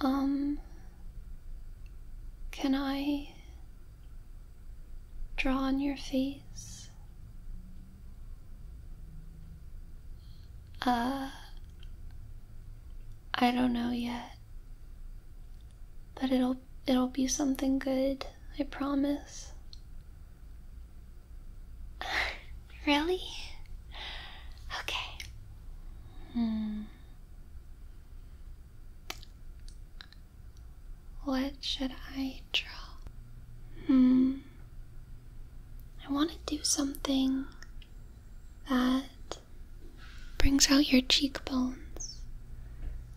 Um, can I draw on your face? Uh, I don't know yet. But it'll it'll be something good, I promise. Really? Okay. Hmm. What should I draw? Hmm. I want to do something that brings out your cheekbones.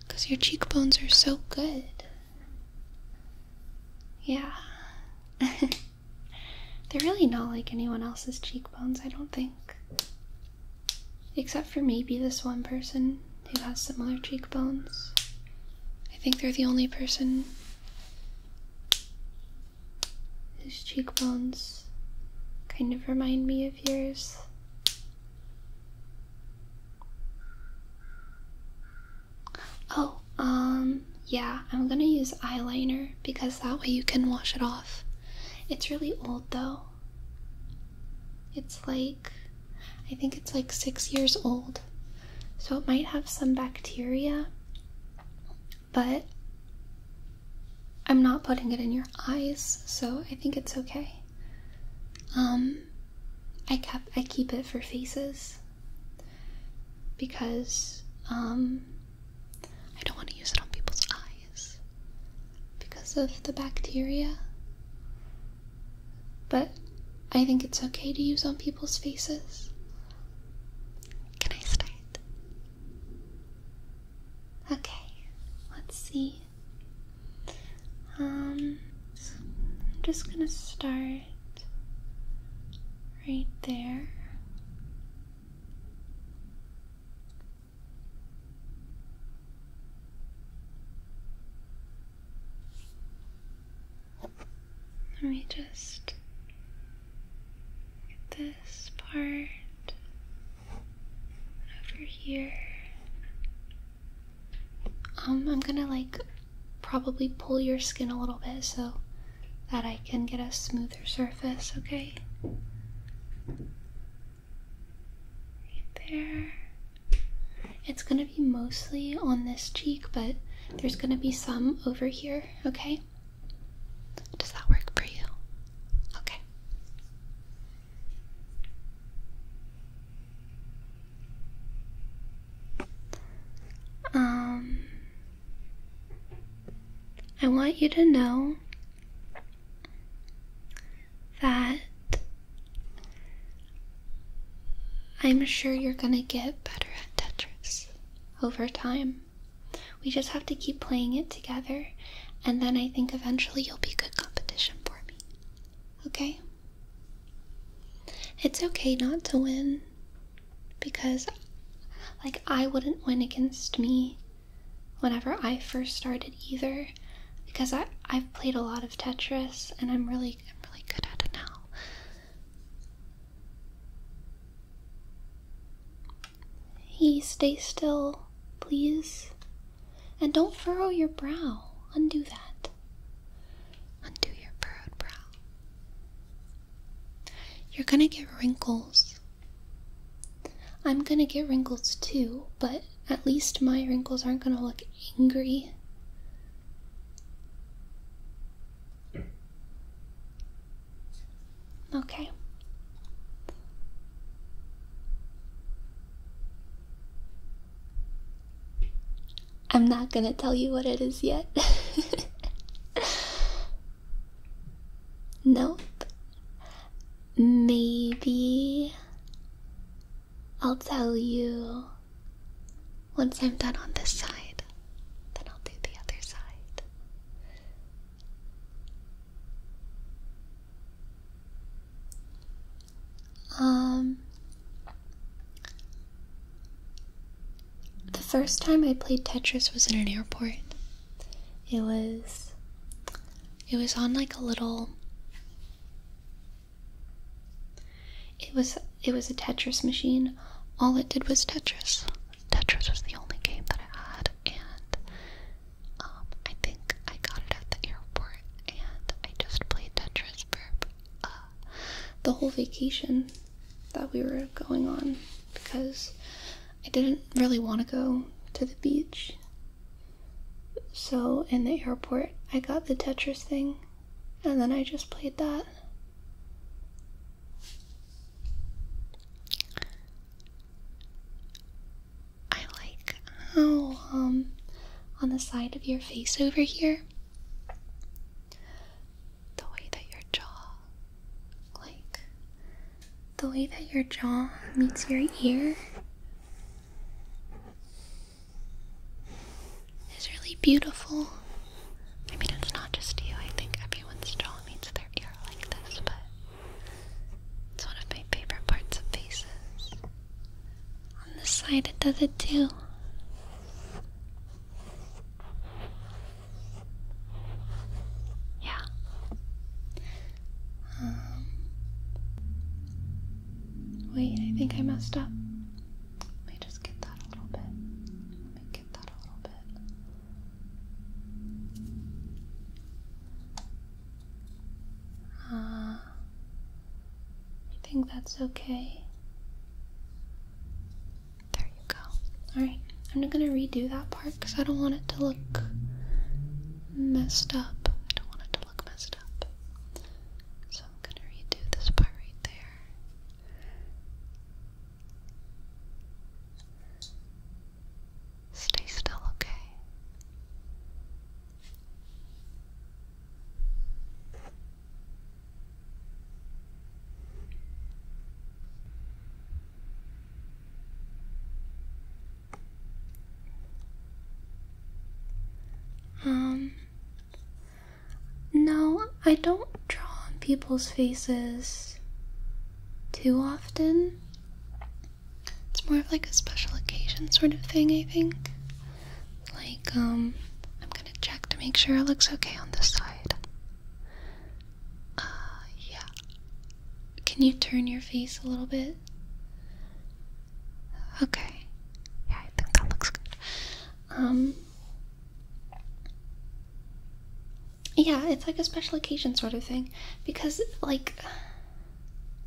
Because your cheekbones are so good. Yeah. They're really not like anyone else's cheekbones, I don't think. Except for maybe this one person who has similar cheekbones. I think they're the only person whose cheekbones kind of remind me of yours. Oh, um, yeah, I'm gonna use eyeliner because that way you can wash it off. It's really old though. It's like, I think it's like six years old. So it might have some bacteria, but I'm not putting it in your eyes, so I think it's okay. Um, I kept I keep it for faces because um, I don't want to use it on people's eyes because of the bacteria. But I think it's okay to use on people's faces. Can I start? Okay, let's see. Um, I'm just gonna start heart right there. Let me just get this part over here. Um, I'm gonna like probably pull your skin a little bit so that I can get a smoother surface, okay? Right there. It's gonna be mostly on this cheek, but there's gonna be some over here, okay? Does that work for you? Okay. Um, I want you to know that I'm sure you're gonna get better at Tetris over time. We just have to keep playing it together, and then I think eventually you'll be good competition for me. Okay? It's okay not to win because like I wouldn't win against me whenever I first started either because I I've played a lot of Tetris and I'm really I'm really good at it now. He stay still, please. And don't furrow your brow. Undo that. Undo your furrowed brow. You're gonna get wrinkles. I'm gonna get wrinkles too, but at least my wrinkles aren't gonna look angry. Okay. I'm not gonna tell you what it is yet. nope. Maybe I'll tell you once I'm done on this side, then I'll do the other side. Um the first time I played Tetris was in an airport. It was it was on like a little It was it was a Tetris machine. All it did was Tetris. Tetris was the only game that I had and um, I think I got it at the airport and I just played Tetris for uh, the whole vacation that we were going on because I didn't really want to go to the beach. So, in the airport, I got the Tetris thing and then I just played that. I like how, um, on the side of your face over here, the way that your jaw, like the way that your jaw meets your ear, is really beautiful. I mean, it's not just you, I think everyone's jaw meets their ear like this, but it's one of my favorite parts of faces. On the side it does it too. Yeah. Um, wait, I think I messed up. Let me just get that a little bit. Let me get that a little bit. Uh, I think that's okay. There you go. Alright, I'm not gonna redo that part because I don't want it to look messed up. I don't want it to look messed up. So I'm gonna redo this part right there. Stay still, okay? Um, no, I don't draw on people's faces too often. It's more of like a special occasion sort of thing, I think. Like, um, I'm gonna check to make sure it looks okay on this side. Uh, yeah. Can you turn your face a little bit? Okay. Yeah, I think that looks good. Um, yeah, it's like a special occasion sort of thing. Because, like,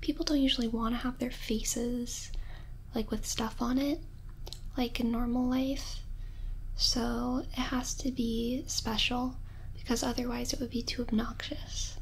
people don't usually want to have their faces like with stuff on it like in normal life so it has to be special because otherwise it would be too obnoxious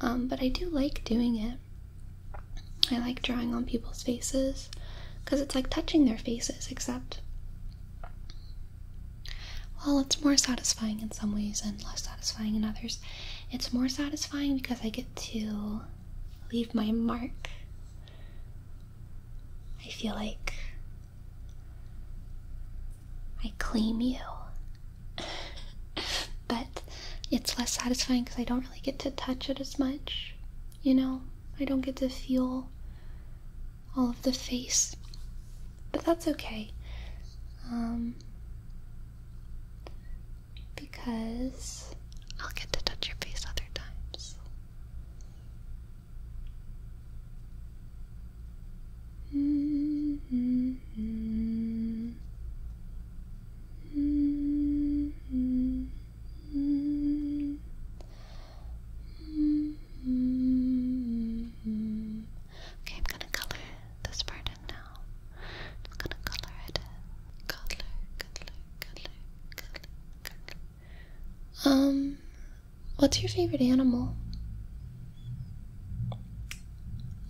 um, but i do like doing it i like drawing on people's faces because it's like touching their faces except well it's more satisfying in some ways and less satisfying in others it's more satisfying because i get to leave my mark. I feel like I claim you. but it's less satisfying because I don't really get to touch it as much. You know, I don't get to feel all of the face. But that's okay. Um, because I'll get to touch your face other times. Okay, I'm gonna color this part it in now. gonna color it Color, color, color, color, color. Um, what's your favorite animal?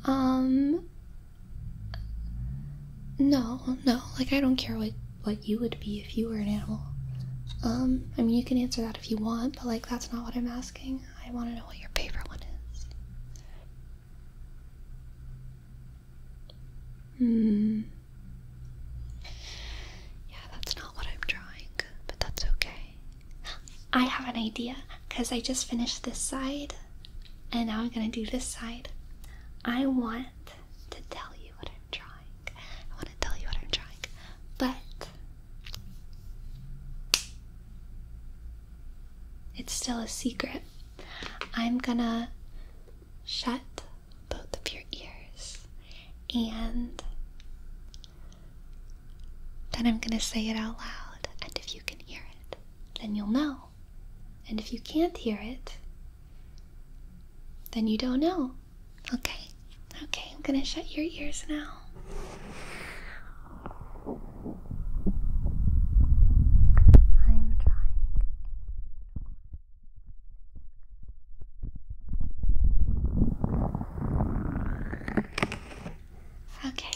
Um, no, no. Like I don't care what what you would be if you were an animal. Um, I mean you can answer that if you want, but like that's not what I'm asking. I want to know what your favorite one is. Hmm. Yeah, that's not what I'm drawing, but that's okay. I have an idea because I just finished this side and now I'm going to do this side. I want to tell you what I'm drawing. I want to tell you what I'm drawing, but it's still a secret. I'm gonna shut both of your ears and then I'm gonna say it out loud. And if you can hear it, then you'll know. And if you can't hear it, then you don't know. Okay, okay, I'm gonna shut your ears now. I'm trying. Okay.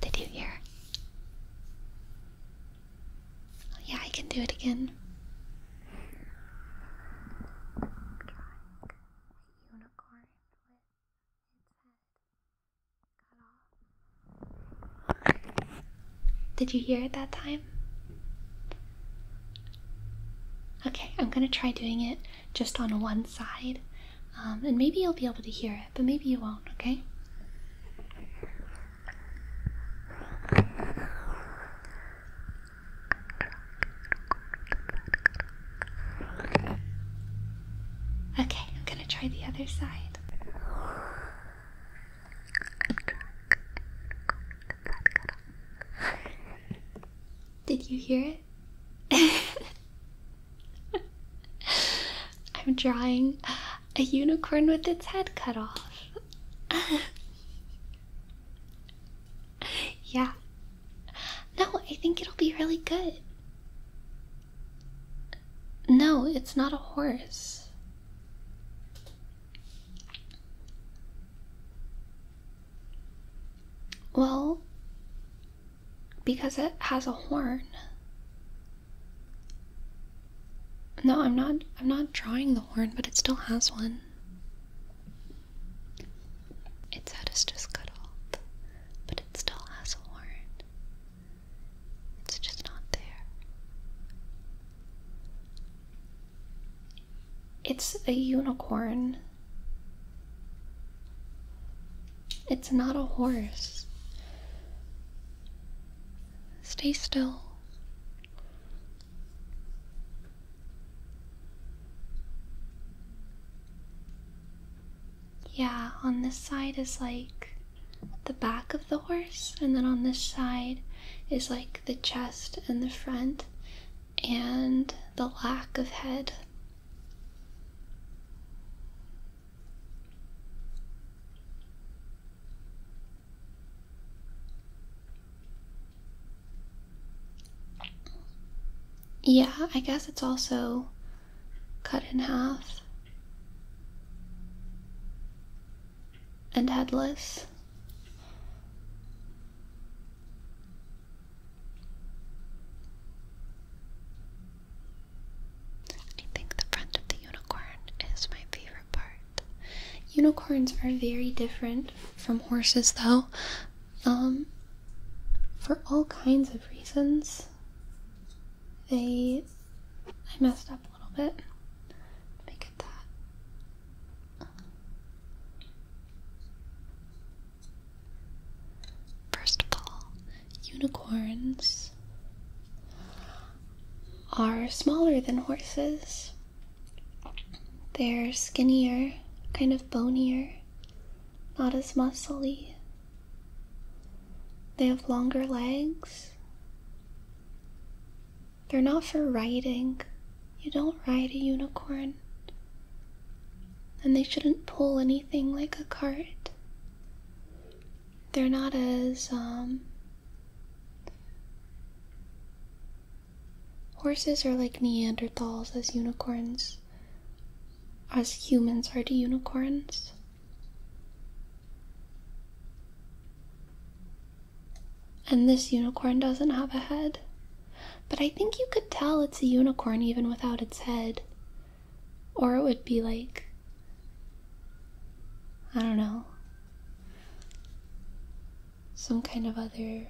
Did you hear? Oh, yeah, I can do it again. Unicorn with its head did you hear it that time? Okay, I'm gonna try doing it just on one side, um, and maybe you'll be able to hear it, but maybe you won't, okay? Okay, I'm gonna try the other side. Did you hear it? I'm drawing a unicorn with its head cut off. yeah, no, I think it'll be really good. No, it's not a horse. Well, because it has a horn. No, I'm not I'm not drawing the horn, but it still has one. Its head is just cut but it still has a horn. It's just not there. It's a unicorn. It's not a horse. Stay still. Yeah, on this side is like the back of the horse, and then on this side is like the chest and the front and the lack of head. Yeah, I guess it's also cut in half and headless. I think the front of the unicorn is my favorite part. Unicorns are very different from horses, though. Um, for all kinds of reasons, they I messed up a little bit. Let me that. First of all, unicorns are smaller than horses. They're skinnier, kind of bonier, not as muscly. They have longer legs. They're not for riding. You don't ride a unicorn. And they shouldn't pull anything like a cart. They're not as, um, Horses are like Neanderthals as unicorns as humans are to unicorns. And this unicorn doesn't have a head. But I think you could tell it's a unicorn even without its head. Or it would be like. I don't know. Some kind of other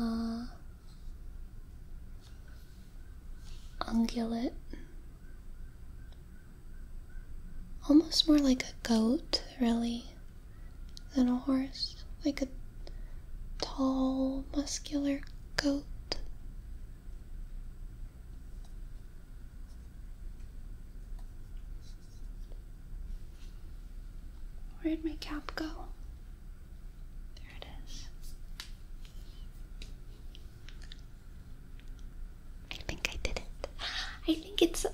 uh, ungulate, almost more like a goat, really, than a horse, like a tall, muscular goat. Where'd my cap go? There it is. I think I did it. I think it's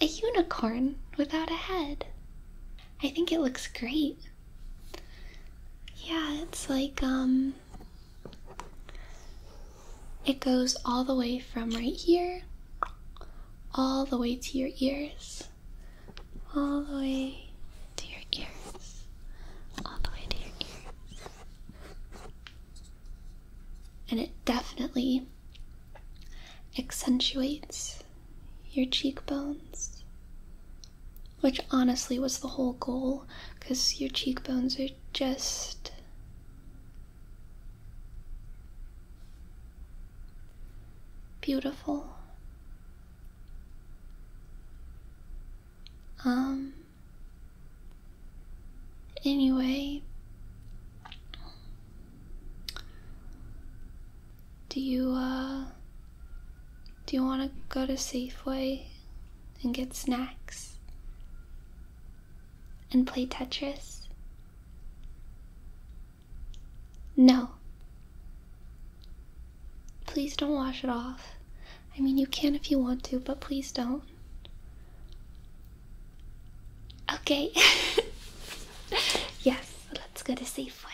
a unicorn without a head. I think it looks great. Yeah, it's like, um, it goes all the way from right here all the way to your ears all the way to your ears, all the way to your ears. And it definitely accentuates your cheekbones, which honestly was the whole goal because your cheekbones are just beautiful. Um, anyway, do you, uh, do you want to go to Safeway and get snacks and play Tetris? No. Please don't wash it off. I mean, you can if you want to, but please don't. Okay. yes, let's go to Safeway.